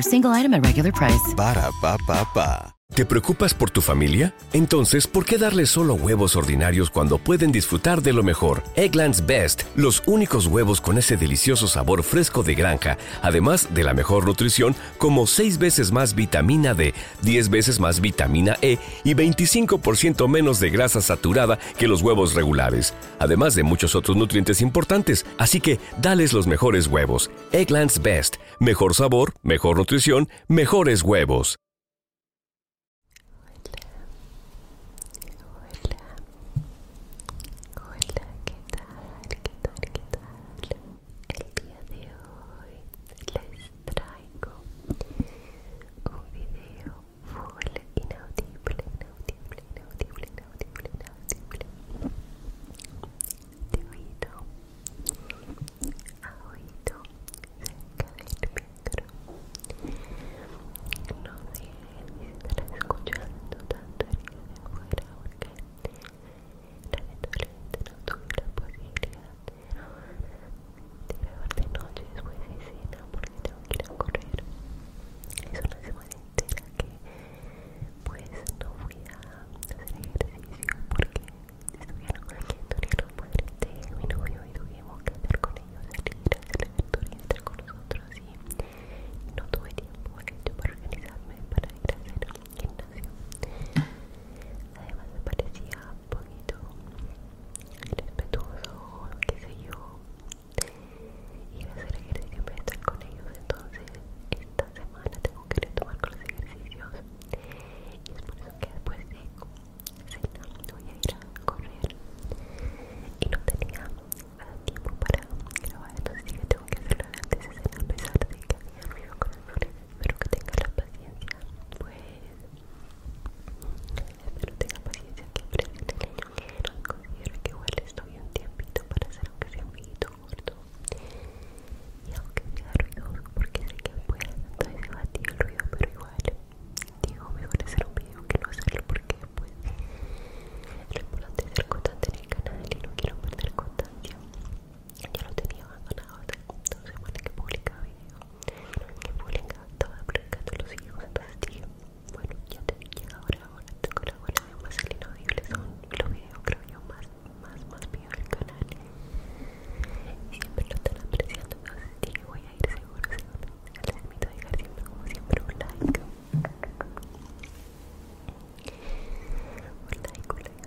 single item at regular price. te preocupas por tu familia? Entonces, ¿por qué darles solo huevos ordinarios cuando pueden disfrutar de lo mejor? Eggland's Best, los únicos huevos con ese delicioso sabor fresco de granja, además de la mejor nutrición, como 6 veces más vitamina D, 10 veces más vitamina E y 25% menos de grasa saturada que los huevos regulares además de muchos otros nutrientes importantes, así que dales los mejores huevos. Egglands Best, mejor sabor, mejor nutrición, mejores huevos. El día de hoy les traigo un video full inaudible inaudible, inaudible, inaudible, inaudible. De oído a oído, cerca del micro. No sé si estará escuchando tanto el día de afuera porque la lamentablemente no tuve la posibilidad de grabar de noche después de cena porque tengo que ir a correr. Es una semana entera que pues no fui a hacer ejercicio porque estuvieron aquí en Torino los padres de mi novio y tuvimos que estar con ellos, salir a hacer el tour y estar con nosotros y no tuve tiempo para organizarme para ir a hacer el gimnasio además me parecía un poquito irrespetuoso, qué sé yo y a hacer ejercicio a estar con ellos entonces esta semana tengo que retomar con los ejercicios y es por eso que después de cena voy a ir a correr y no tenía tiempo para grabar entonces que tengo que hacerlo antes de cena a pesar de que había ruido con el flores espero que tenga la paciencia pues espero que tenga paciencia que Considero que igual estoy un tiempito para hacer aunque sea un poquito corto y aunque sea ruidoso porque sé que puede entonces se el ruido pero igual digo mejor hacer un video que no hacerlo porque pues lo importante es el constante en el canal y no quiero perder constancia yo lo tenía abandonado hace dos que publicaba video que publicaba estaba publicando los videos entonces tío bueno ya te dije ahora ahora tengo la buena de más el inaudible son los videos creo yo más más más videos del canal y siempre lo están apreciando entonces le voy a ir seguro seguro les invito a dejar siempre como siempre un like un like un like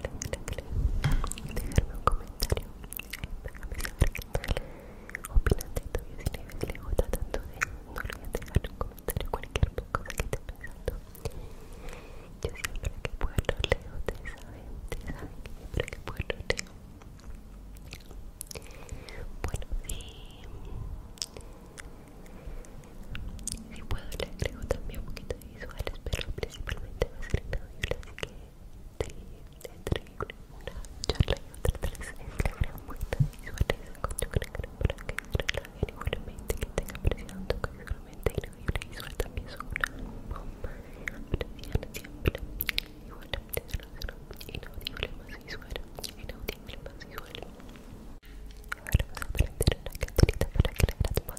un like un like, like. dejarme un comentario déjame saber qué tal opinan de esto y si les gusta tanto de no olviden dejar un comentario comentaré cualquier cosa que esté pensando. Yo siempre que puedo leo, ustedes saben, ustedes saben que siempre que puedo leo. Bueno, si, si puedo le agrego también un poquito de visuales, pero principalmente va a ser en audio, así que entre una charla y otra, tres es la gran muestra de visuales con gran gran para que igualmente que tenga increíble visual también bomba siempre igualmente inaudible y visual inaudible más visual ahora vamos a prender una para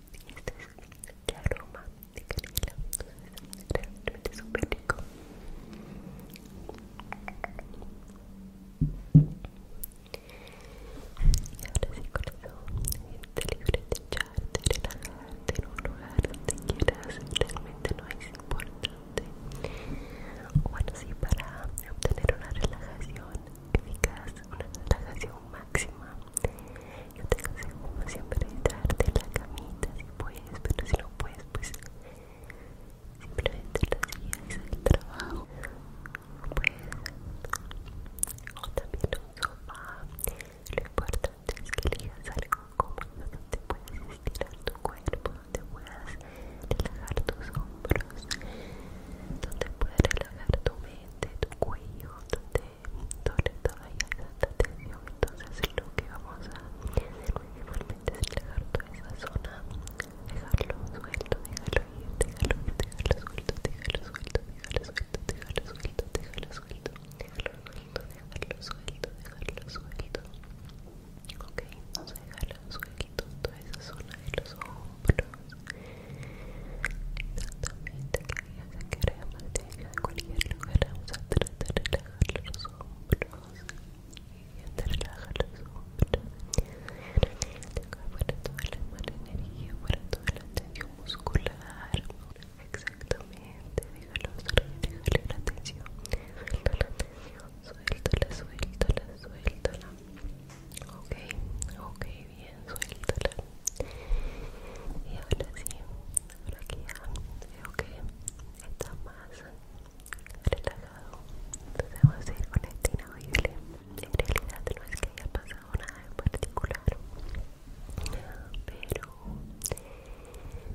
este es el aroma de canela realmente súper rico y ahora sí corazón gente libre de echarte, relajarte en un lugar donde quieras realmente no es importante bueno sí para obtener una relajación eficaz una relajación máxima. Yo te aconsejo siempre siempre traerte la camita si puedes, pero si no puedes, pues simplemente días el trabajo. Pues, o también un sofá. Lo importante es que elijas algo cómodo donde puedas estirar tu cuerpo, donde puedas relajar tus hombros, donde puedas relajar tu mente, tu cuello, donde todo todo hay tanta tensión entonces lo que vamos a hacer principalmente es dejar toda esa zona dejarlo suelto, dejarlo, ir, dejarlo suelto, dejarlo suelto, dejarlo suelto, dejarlo suelto, dejarlo suelto, dejarlo suelto, dejarlo suelto, dejarlo suelto, dejarlo suelto ok, vamos a dejarlo suelto toda esa zona de los ojos hombros Exactamente, que ella cualquier lugar Vamos a tratar de relajar los hombros Y te relajar los hombros que toda la mala energía, fuera toda la tensión muscular Exactamente, déjalo salir, la tensión suelta la tensión, suéltala, suéltala, suéltala Ok, ok, bien bien, suéltala y ahora sí, ahora que ya veo que está más relajado entonces vamos a ir con este inaudible en realidad no es que haya pasado nada en particular pero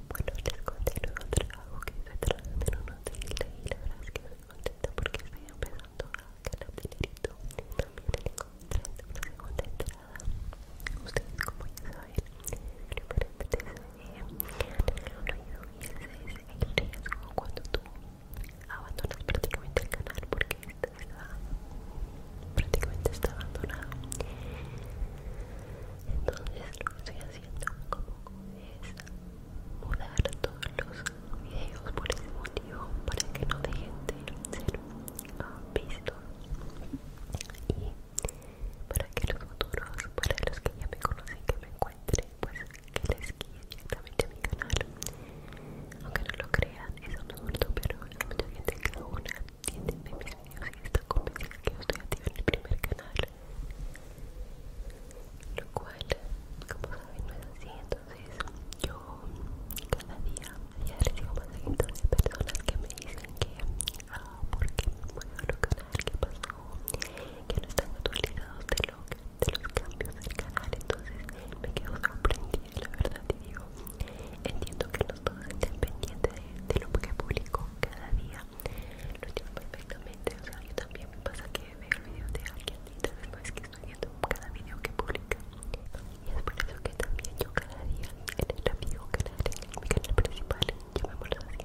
bueno, les conté el otro que se trata en un hotel y la verdad es que estoy contenta porque estoy empezando a que el apelito también encontré una segunda entrada ustedes como ya saben primeramente soñé ruido y ese es el riesgo cuando tú abandonas prácticamente el canal porque este está prácticamente está abandonado entonces lo que estoy haciendo es mudar todos los videos por ese motivo para que no dejen de ser visto y para que los futuros, para los que ya me conocen que me encuentren, pues que les guíe directamente a mi canal aunque no lo crean, es absurdo, pero hay mucha gente que una entiende de mis videos y está que yo estoy activa en el primer canal lo cual, como saben, no es así, entonces yo cada día ya recibo más de personas que me dicen que ah, porque bueno, lo canal que pasó que no están actualizados de, de los cambios del canal entonces me quedo sorprendida la verdad y digo entiendo que los todos estén pendientes de, lo que publico cada día lo entiendo perfectamente o sea yo también me pasa que veo video de alguien y después es que estoy viendo cada video que publica y es por eso que también yo cada día en el amigo canal, en mi canal principal, llamémoslo así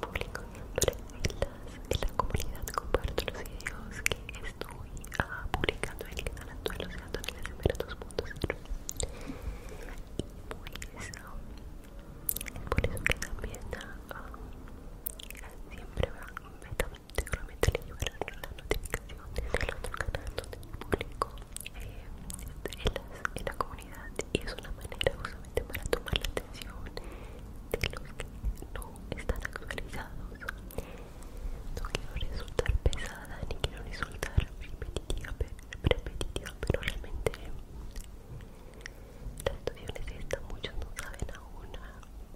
publico siempre en, las, la comunidad, comparto los videos que estoy ah, publicando en el canal actual, o sea, de Semera 2.0 y por eso, es por eso que también ah, ah, siempre va me seguramente le llevarán la notificación del otro canal donde publico eh, en, en la comunidad y es una manera justamente para tomar la atención de los que no están actualizados no quiero resultar pesada ni quiero resultar repetitiva, pero realmente tanto situaciones que muchos no saben aún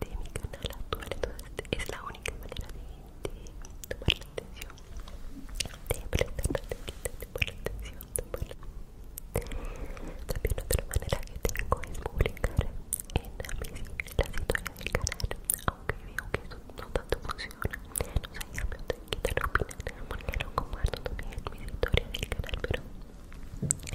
de mi canal actual entonces es la única manera de, tomar la atención de de tomar la intención también otra manera que tengo es publicar en la, Las historia del canal aunque veo que eso no tanto funciona no sé, ya me quitar opinión porque lo comparto también en mis historias del canal pero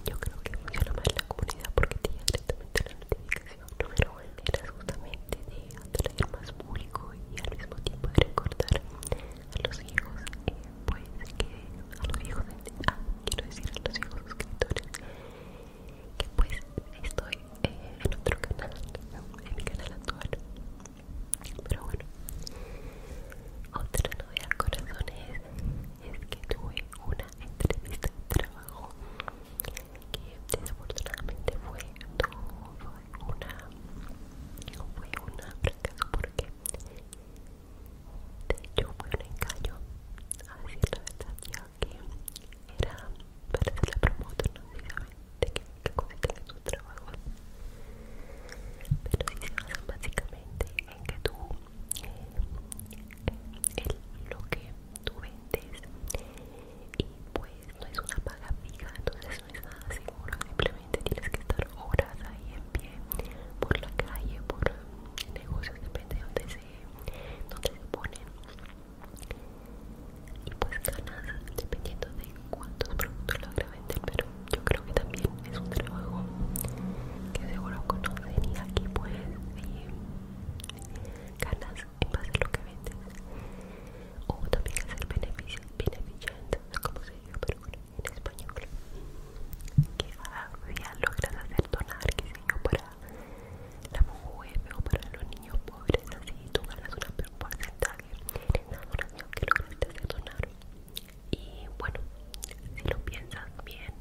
yo creo que lo más la comunidad porque tiene directamente la notificación el número uno era justamente de atraer más público y al mismo tiempo de recordar a los hijos, eh, pues que a los hijos, ah, quiero decir a los hijos suscriptores, que pues estoy eh, en otro canal, en mi canal actual. Pero bueno, otra novedad corazón es que tuve una entrevista de trabajo que desafortunadamente fue fue una fue fracaso porque de hecho fue un engaño a decir la verdad ya que era para hacer la promoción no de que qué tu trabajo pero dice básicamente en que tú eh, lo que tú vendes y pues no es una paga fija entonces no es nada seguro simplemente tienes que estar horas ahí en pie por la calle por negocios depende de donde se ponen y pues ganas dependiendo de cuántos productos logra vender pero yo creo que también es un trabajo que seguro conocen y aquí pues ganas en base a lo que vendes o también hacer beneficios beneficiando como se dice pero bueno en español que ya día logras hacer donar que si yo para la mujer o para los niños pobres así tú ganas un porcentaje en la que lograste hacer donar y bueno si lo piensas bien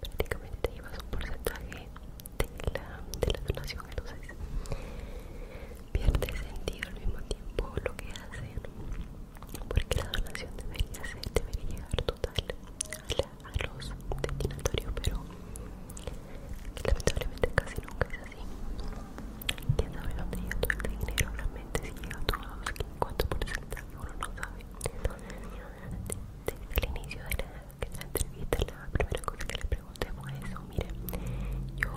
prácticamente te llevas un porcentaje de la, de la donación entonces pierde sentido al mismo tiempo lo que hacen porque la donación debería ser debería llegar total a, los destinatorios pero lamentablemente casi nunca es así quién sabe dónde llega todo el este dinero realmente si llega a todos cuánto porcentaje uno no sabe desde el inicio de la que en la entrevista la primera cosa que le pregunté fue eso, mire, yo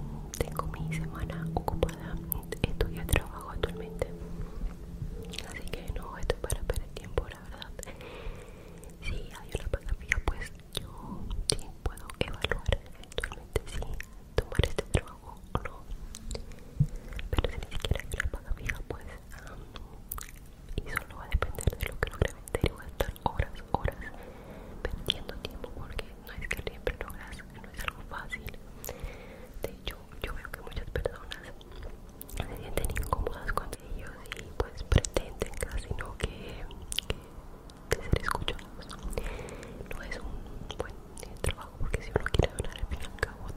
mm, tengo mi semana ocupada, estoy a trabajo actualmente, así que no estoy para perder tiempo, la verdad. Si hay una paga fija, pues yo sí puedo evaluar eventualmente si tomar este trabajo o no, pero si ni siquiera hay una paga fija, pues ah, y solo va a depender de lo que logre meter y voy a estar horas, horas perdiendo tiempo porque no es que siempre logras, no es algo fácil de hecho yo veo que muchas personas se sienten incómodas con ellos y pues pretenden casi no que, que, que ser escuchados no es un buen eh, trabajo porque si uno quiere donar en blanca o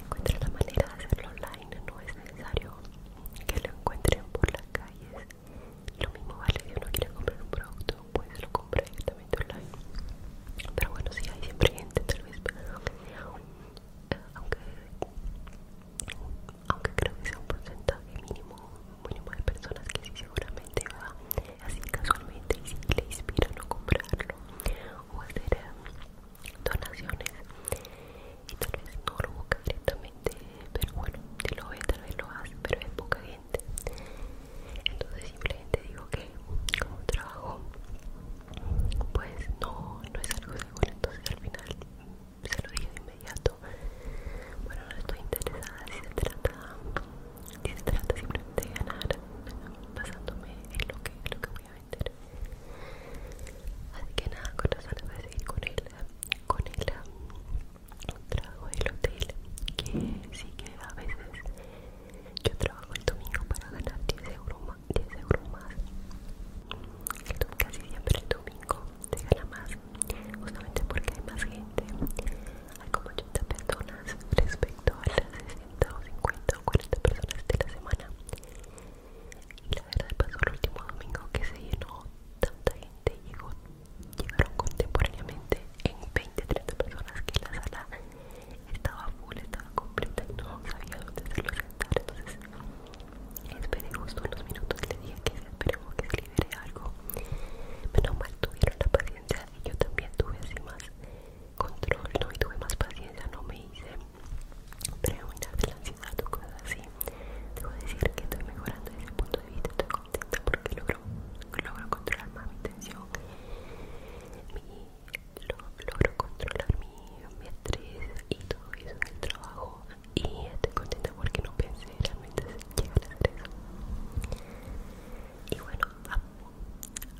encuentra la manera de hacerlo online no es necesario que lo encuentren por las calles. Lo mismo vale si uno quiere comprar un producto, pues lo compra directamente online. Pero bueno, si hay siempre gente, tal vez, eh, aunque, aunque creo que sea un porcentaje mínimo, de personas que sí seguramente va así casualmente y si le inspira a comprarlo o hacer eh, donaciones y tal vez no lo busca directamente pero bueno te lo ve tal vez lo hace pero es poca gente entonces simplemente digo que como trabajo pues no no es algo seguro entonces al final se lo dije de inmediato bueno no estoy interesada si se trata si se trata simplemente de ganar basándome en lo que, lo que voy a así que nada con voy a seguir con el con el trabajo del hotel que sí que a veces yo trabajo el domingo para ganar 10 euros más 10 euros más casi siempre el domingo se gana más justamente porque hay más gente hay como 80 personas respecto a las 60 o 50 o 40 personas de la semana y la verdad pasó el último domingo que se llenó tanta gente, llegó, llegaron contemporáneamente en 20-30 personas que la sala estaba full, estaba completa y no sabía dónde hacerlo sentar. Entonces esperé justo unos minutos, le dije que esperemos que se libere algo. Menos mal tuvieron la paciencia y yo también tuve así más control, no y tuve más paciencia, no me hice pero de la ansiedad o cosas así. Debo decir que estoy mejorando desde ese punto de vista, estoy contenta porque logro, logro controlar más mi tensión, logro controlar mi, mi estrés y todo eso en el trabajo. Y estoy contenta porque no pensé realmente llegar a la eso. Y bueno,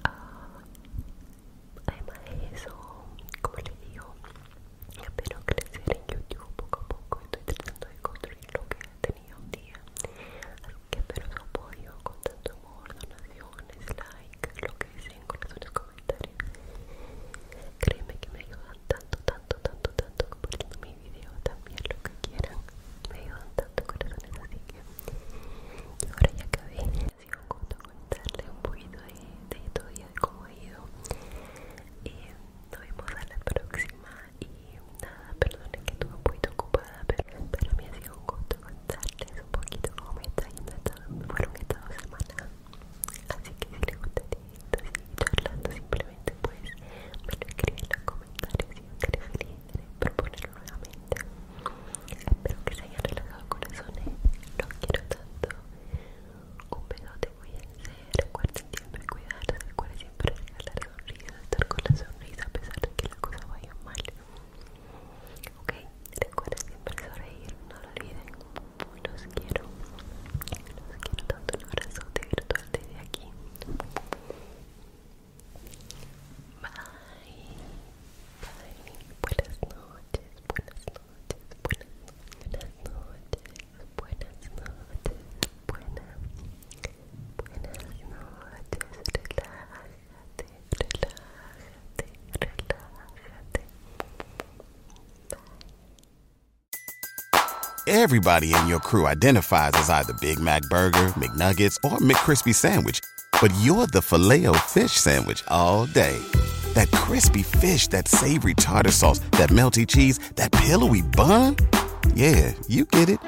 ah además de eso, como les digo, espero crecer en YouTube poco a poco. Estoy tratando de construir lo que he tenido un día. Así que espero su apoyo con tanto amor, donaciones, likes, lo que deseen, sus comentarios. Créeme que me ayudan tanto, tanto, tanto, tanto compartiendo mi video también, lo que quieran. Me ayudan tanto corazones, así que. ahora ya acabé un gusto contarle un poquito de, de todo y de cómo ha ido eh, nos vemos a la próxima y nada, perdonen que estuve un poquito ocupada pero me mí ha sido un gusto contarles un poquito cómo me está yendo esta, fueron estas dos semanas así que si les gustaría seguir charlando simplemente pues me lo escriben en los comentarios y yo estaré feliz de proponer nuevamente Espero que se haya relajado el corazón. Eh. Los quiero tanto. Un besote, cuídense. Recuerden siempre cuidar, Recuerden siempre regalar sonrisa Estar con la sonrisa a pesar de que la cosa vaya mal. Ok, recuerden siempre sonreír. No lo olviden. Los quiero. Los quiero tanto. Un de virtual desde aquí. Bye. Bye. Buenas noches. Buenas noches. Everybody in your crew identifies as either Big Mac Burger, McNuggets, or McCrispy Sandwich, but you're the Fileo fish sandwich all day. That crispy fish, that savory tartar sauce, that melty cheese, that pillowy bun. Yeah, you get it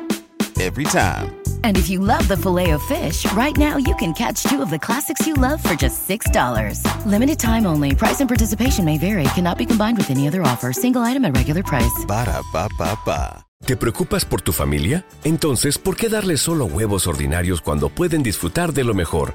every time. And if you love the filet of fish, right now you can catch two of the classics you love for just $6. Limited time only. Price and participation may vary. Cannot be combined with any other offer. Single item at regular price. Ba da ba ba ¿Te preocupas por tu familia? Entonces, ¿por qué darle solo huevos ordinarios cuando pueden disfrutar de lo mejor?